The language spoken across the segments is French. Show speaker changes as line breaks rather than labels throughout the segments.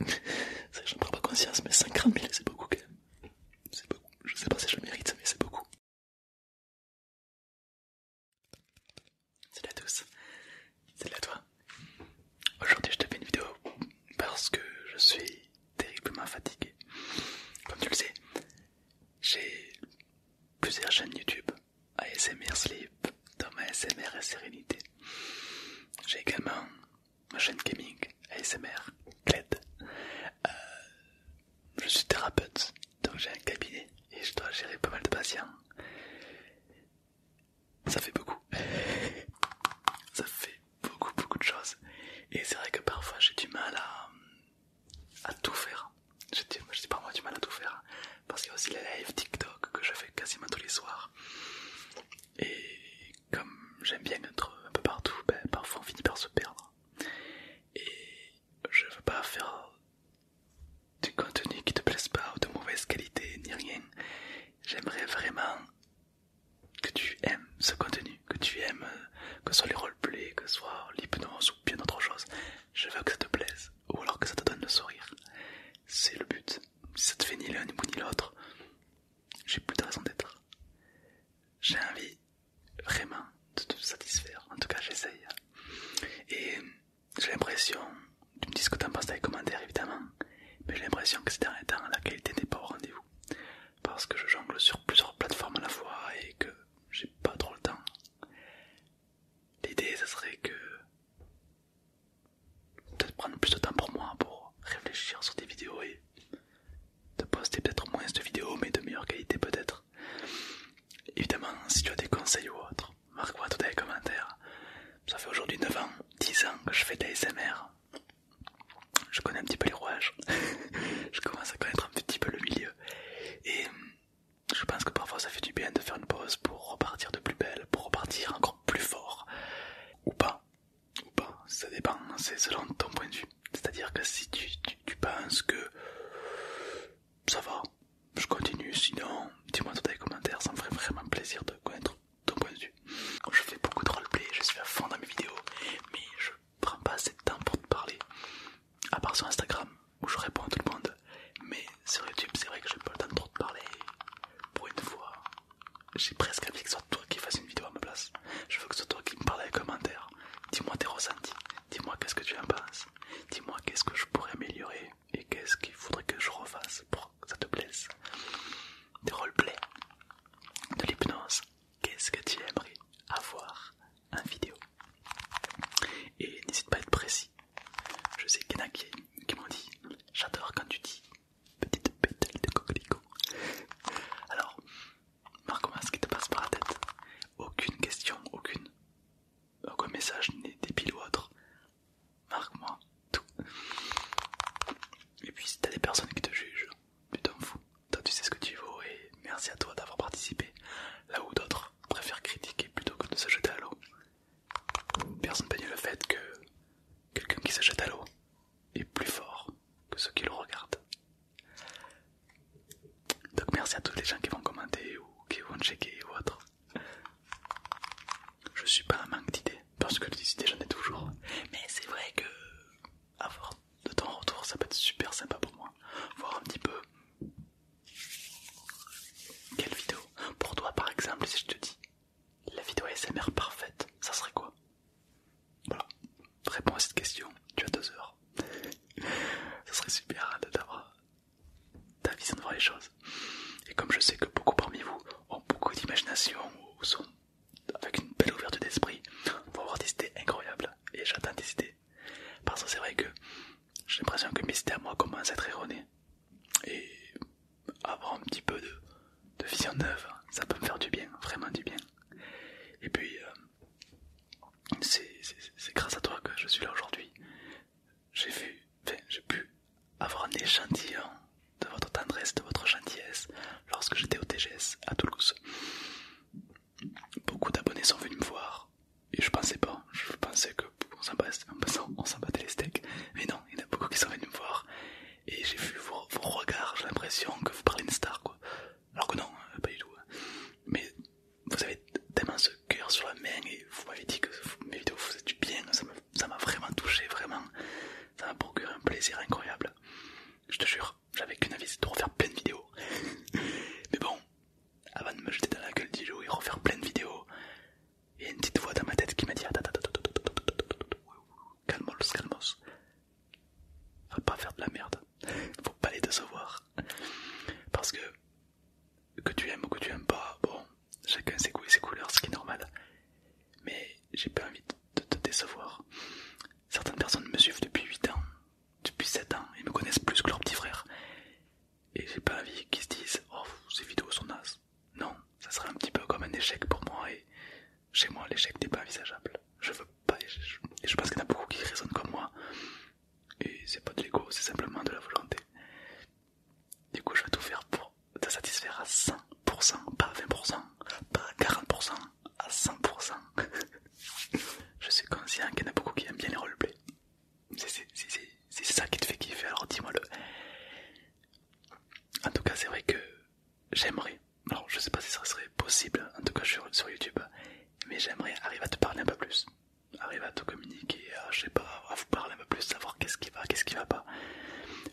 je ne prends pas conscience, mais 50 000 c'est beaucoup quand même. Beaucoup. Je sais pas si je le mérite, mais c'est beaucoup. Salut à tous, salut à toi. Aujourd'hui je te fais une vidéo parce que je suis terriblement fatigué. Comme tu le sais, j'ai plusieurs chaînes YouTube, ASMR Sleep, Thomas ASMR et Sérénité. J'ai également ma chaîne gaming, ASMR, euh, je suis thérapeute, donc j'ai un cabinet et je dois gérer pas mal de patients. Ça fait beaucoup. Ça fait beaucoup, beaucoup de choses. Et c'est vrai que parfois j'ai du mal à, tout faire. Je pas moi du mal à tout faire. Parce qu'il y a aussi les live TikTok que je fais quasiment tous les soirs. Et comme j'aime bien être un peu partout, ben, parfois on finit par se perdre. Et je veux pas faire du contenu qui te plaise pas ou de mauvaise qualité ni rien. J'aimerais vraiment que tu aimes ce contenu, que tu aimes, euh, que ce soit les roleplays, que ce soit l'hypnose ou bien autre chose. Je veux que ça te plaise ou alors que ça te donne le sourire. C'est le but. Si ça te fait ni l'un ni, l'autre, j'ai plus de raison d'être. J'ai envie vraiment de te satisfaire. En tout cas, j'essaye. Et j'ai l'impression, tu me dis ce que t'en penses dans les commentaires évidemment, mais j'ai l'impression que ces derniers temps, la qualité n'est pas au rendez-vous. Parce que je jongle sur plusieurs plateformes à la fois et que j'ai pas trop le temps. L'idée, ça serait que peut-être prendre plus de temps pour moi, pour réfléchir sur des vidéos et de poster peut-être moins de vidéos, mais de meilleure qualité peut-être. Évidemment, si tu as des conseils ou autre, marque-moi tout dans les commentaires. Ça fait aujourd'hui 9 ans, 10 ans que je fais de l'ASMR. Je connais un petit peu les rouages, je commence à connaître un petit peu le milieu. Et euh, je pense que parfois ça fait du bien de faire une pause pour repartir de plus belle, pour repartir encore plus fort. Ou pas. Ou pas. Ça dépend. C'est selon ton point de vue. C'est-à-dire que si tu, penses que ça va, je continue. Sinon, dis-moi dans les commentaires. Ça me ferait vraiment plaisir de connaître ton point de vue. Je fais beaucoup de roleplay. Je suis à fond dans mes vidéos. Mais je prends pas assez de temps pour te parler. À part sur Instagram où je réponds à tout le monde. Mais sur YouTube, c'est vrai que je n'ai pas le temps de trop te parler. Pour une fois, j'ai presque envie que ce soit toi qui fasses une vidéo à ma place. Je veux que ce soit toi qui me parle à les commentaires. Dis-moi tes ressentis, dis-moi qu'est-ce que tu en penses, dis-moi qu'est-ce que je pourrais améliorer et qu'est-ce qu'il faudrait que je refasse pour que ça te plaise. Des roleplay de l'hypnose, qu'est-ce que tu aimerais avoir en vidéo. Et n'hésite pas à être précis, je sais qu'il y en a qui, m'ont dit J'adore quand tu dis petite pétale de coquelicot. Alors, marque moi ce qui te passe par la tête Aucune question, aucune. Aucun message n'est débile ou autre. Marque-moi tout. Et puis, si t'as des personnes qui te jugent, tu t'en fous. Toi, tu sais ce que tu vaux et merci à toi d'avoir participé. Là où d'autres préfèrent critiquer plutôt que de se jeter à l'eau. Personne ne peut nier le fait que quelqu'un qui se jette à l'eau est plus fort que ceux qui le regardent. Donc merci à tous les gens qui vont commenter ou qui vont checker ou autre. Je suis pas un manque d'idées, parce que les idées j'en ai toujours. Mais c'est vrai que avoir de temps ton retour ça peut être super sympa pour moi. Voir un petit peu quelle vidéo Pour toi par exemple, si je te dis la vidéo ASMR parfaite, ça serait quoi Voilà, réponds à cette question, tu as deux heures. ça serait super hein, de d'avoir ta vision de voir les choses. Et comme je sais que beaucoup parmi vous ont beaucoup d'imagination ou sont avec une belle ouverture d'esprit, va avoir des idées incroyables. Et j'attends des idées. Parce que c'est vrai que j'ai l'impression que mes idées à moi commencent à être erronées et avoir un petit peu de, de vision neuve, ça peut me faire du bien, vraiment du bien. Et puis, euh, c'est grâce à toi que je suis là aujourd'hui. J'ai vu, j'ai pu avoir un échantillon de votre tendresse, de votre gentillesse lorsque j'étais au TGS à Toulouse. Beaucoup d'abonnés sont venus me voir, et je pensais pas, je pensais que on s'en battait les steaks, mais non, il y en a beaucoup qui sont venus me voir et j'ai vu vos, regards, j'ai l'impression que vous parlez une star quoi. Alors que non, euh, pas du tout. Hein. Mais vous avez tellement ce coeur sur la main et vous m'avez dit que mes vidéos vous faisaient du bien, ça m'a vraiment touché, vraiment. Ça m'a procuré un plaisir incroyable. Je te jure, j'avais qu'une avis, de refaire plein de vidéos. mais bon, avant de me jeter dans la gueule du et refaire plein de vidéos, il y a une petite voix dans ma tête qui m'a dit calmement, le calmos, calmos. Faut pas faire de la merde. Faut pas les décevoir. Parce que que tu aimes ou que tu aimes pas, bon, chacun ses goûts ses couleurs, ce qui est normal. Mais j'ai pas envie de te décevoir. Certaines personnes me suivent depuis 8 ans, depuis 7 ans, et me connaissent plus que leurs petits frères et j'ai pas envie qu'ils se disent Oh, ces vidéos sont nasses. Non, ça serait un petit peu comme un échec pour moi et chez moi l'échec n'est pas envisageable. Je veux pas, et je, pense qu'il y en a beaucoup qui raisonnent comme moi. Et c'est pas de l'ego, c'est simplement de la volonté. Du coup, je vais tout faire pour te satisfaire à 100%, pas à 20%, pas à 40%, à 100%. je suis conscient qu'il y en a beaucoup qui aiment bien les roleplays. C'est ça qui te fait kiffer, alors dis-moi le. En tout cas, c'est vrai que j'aimerais, alors je sais pas si ça serait possible, en tout cas sur YouTube, mais j'aimerais arriver à te parler un peu plus, arriver à te communiquer, je sais pas, à vous parler un peu plus, savoir qu'est-ce qui va, qu'est-ce qui va pas,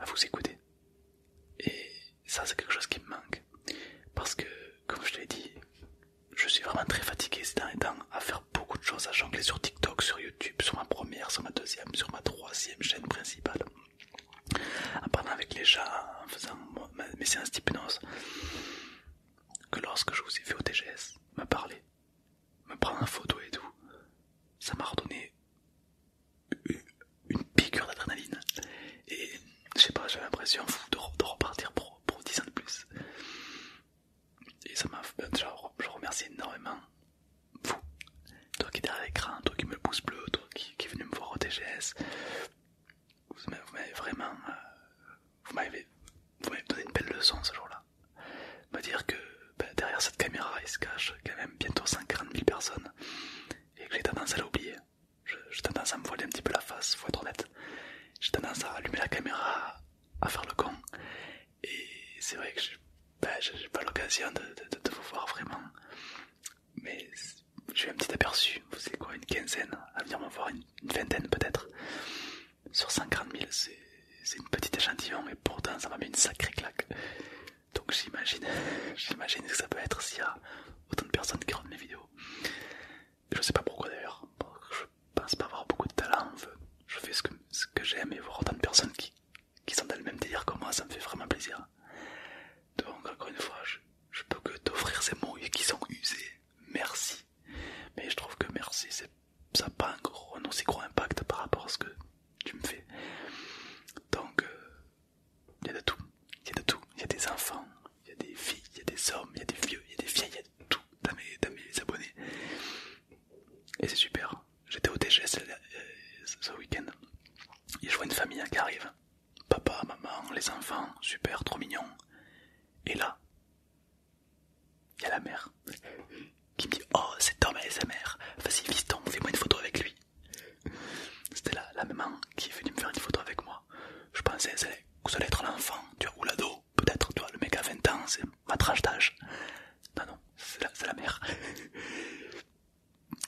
à vous écouter. Et ça, c'est quelque chose qui me manque, parce que, comme je te l'ai dit, je suis vraiment très fatigué ces derniers temps à faire beaucoup de choses à jongler sur TikTok, sur YouTube, sur ma première, sur ma deuxième, sur ma troisième chaîne principale. En parlant avec les gens, en faisant mes séances d'hypnose, que lorsque je vous ai vu au TGS, me parler, me prendre en photo et tout, ça m'a redonné une piqûre d'adrénaline. Et je sais pas, j'ai l'impression de, repartir pour, pour 10 ans de plus. Et ça m'a. je remercie énormément vous. Toi qui es derrière l'écran, toi qui me pousse bleu, toi qui, est venu me voir au TGS. Vous m'avez vraiment. Euh, vous m'avez donné une belle leçon ce jour-là. Me dire que ben, derrière cette caméra il se cache quand même bientôt 140 000 personnes et que j'ai tendance à l'oublier. J'ai tendance à me voiler un petit peu la face, faut être honnête. J'ai tendance à allumer la caméra, à faire le con. Et c'est vrai que je j'ai pas l'occasion de, vous voir vraiment. Mais j'ai un petit aperçu, vous savez quoi, une quinzaine, à venir me voir une, vingtaine peut-être. Sur 50 000, c'est une petite échantillon, et pourtant ça m'a mis une sacrée claque. Donc j'imagine, j'imagine que ça peut être s'il y a autant de personnes qui regardent mes vidéos. Je sais pas pourquoi d'ailleurs. Je pense pas avoir beaucoup de talent. Je fais ce que, ce que j'aime et voir autant de personnes qui, qui sont dans le même délire que moi, ça me fait vraiment plaisir. Donc, encore une fois, je, peux que t'offrir ces mots qui sont usés. Merci. Mais je trouve que merci, ça n'a pas un, gros, un aussi gros impact par rapport à ce que tu me fais. Donc, il euh, y a de tout. Il y a de tout. Il y a des enfants, il y a des filles, il y a des hommes, il y a des vieux, il y a des vieilles, il y a tout dans mes, abonnés. Et c'est super. J'étais au TGS euh, ce week-end et je vois une famille qui arrive. Papa, maman, les enfants, super, trop mignon. Et là, il y a la mère qui me dit Oh, c'est Thomas et sa mère, vas-y, fiston, fais-moi une photo avec lui. C'était la, la maman qui est venue me faire une photo avec moi. Je pensais que ça allait, être l'enfant, tu ou l'ado peut-être, toi le mec à 20 ans, c'est ma d'âge. Non, non, c'est la, mère.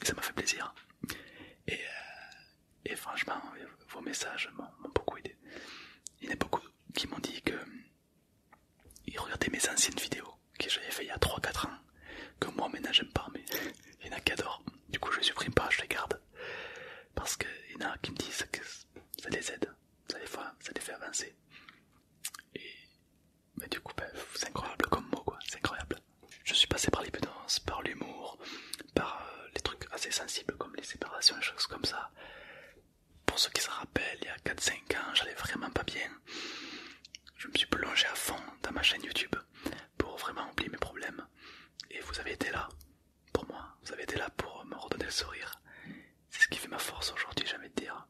ça m'a fait plaisir. Et, euh, franchement, vos messages m'ont beaucoup aidé. Il y en a beaucoup qui m'ont dit que ils regardaient mes anciennes vidéos que j'avais fait il y a 3-4 ans, que moi maintenant j'aime pas, mais il y en a qui adorent. Du coup, je les supprime pas, je les garde. Parce qu'il y en a qui me disent que ça les aide ça les fait, ça les fait avancer. Et mais du coup, ben, c'est incroyable comme mot, quoi. C'est incroyable. Je suis passé par l'impudence, par l'humour, par euh, les trucs assez sensibles comme les séparations, et choses comme ça. Pour ceux qui se rappellent, il y a 4-5 ans, j'allais vraiment pas bien. Je me suis plongé à fond dans ma chaîne YouTube pour vraiment oublier mes problèmes. Et vous avez été là, pour moi. Vous avez été là pour me redonner le sourire. C'est ce qui fait ma force aujourd'hui, Jamais de dire.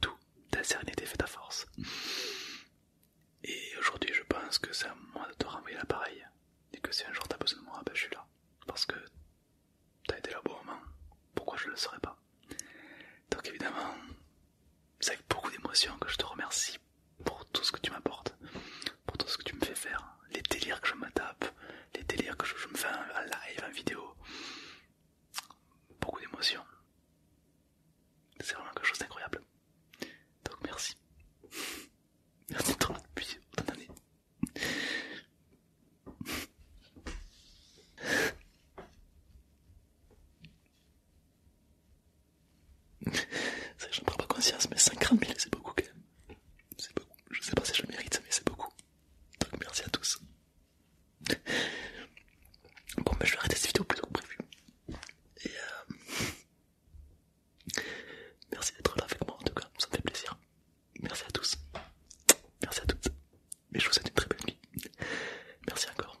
Tout, ta sérénité fait ta force. Et aujourd'hui, je pense que c'est à moi de te renvoyer l'appareil. Et que si un jour t'as besoin de moi, ben, je suis là. Parce que t'as été là au bon moment. Pourquoi je le serais pas Donc évidemment, c'est avec beaucoup d'émotion que je te remercie pour tout ce que tu m'apportes pour tout ce que tu me fais faire, les délires que je m'attape, les délires que je, me fais en live, en vidéo. Beaucoup d'émotions. C'est vraiment quelque chose d'incroyable. Donc merci. Merci de toi depuis autant d'années. Je ne prends pas conscience, mais 50 000 c'est beaucoup quand même. C'est beaucoup. Je sais pas si je le mérite, mais c'est beaucoup. Donc merci à tous. Bon, mais je vais arrêter cette vidéo plutôt que prévu. Et euh... merci d'être là avec moi en tout cas, ça me fait plaisir. Merci à tous. Merci à toutes. mais je vous souhaite une très bonne nuit. Merci encore.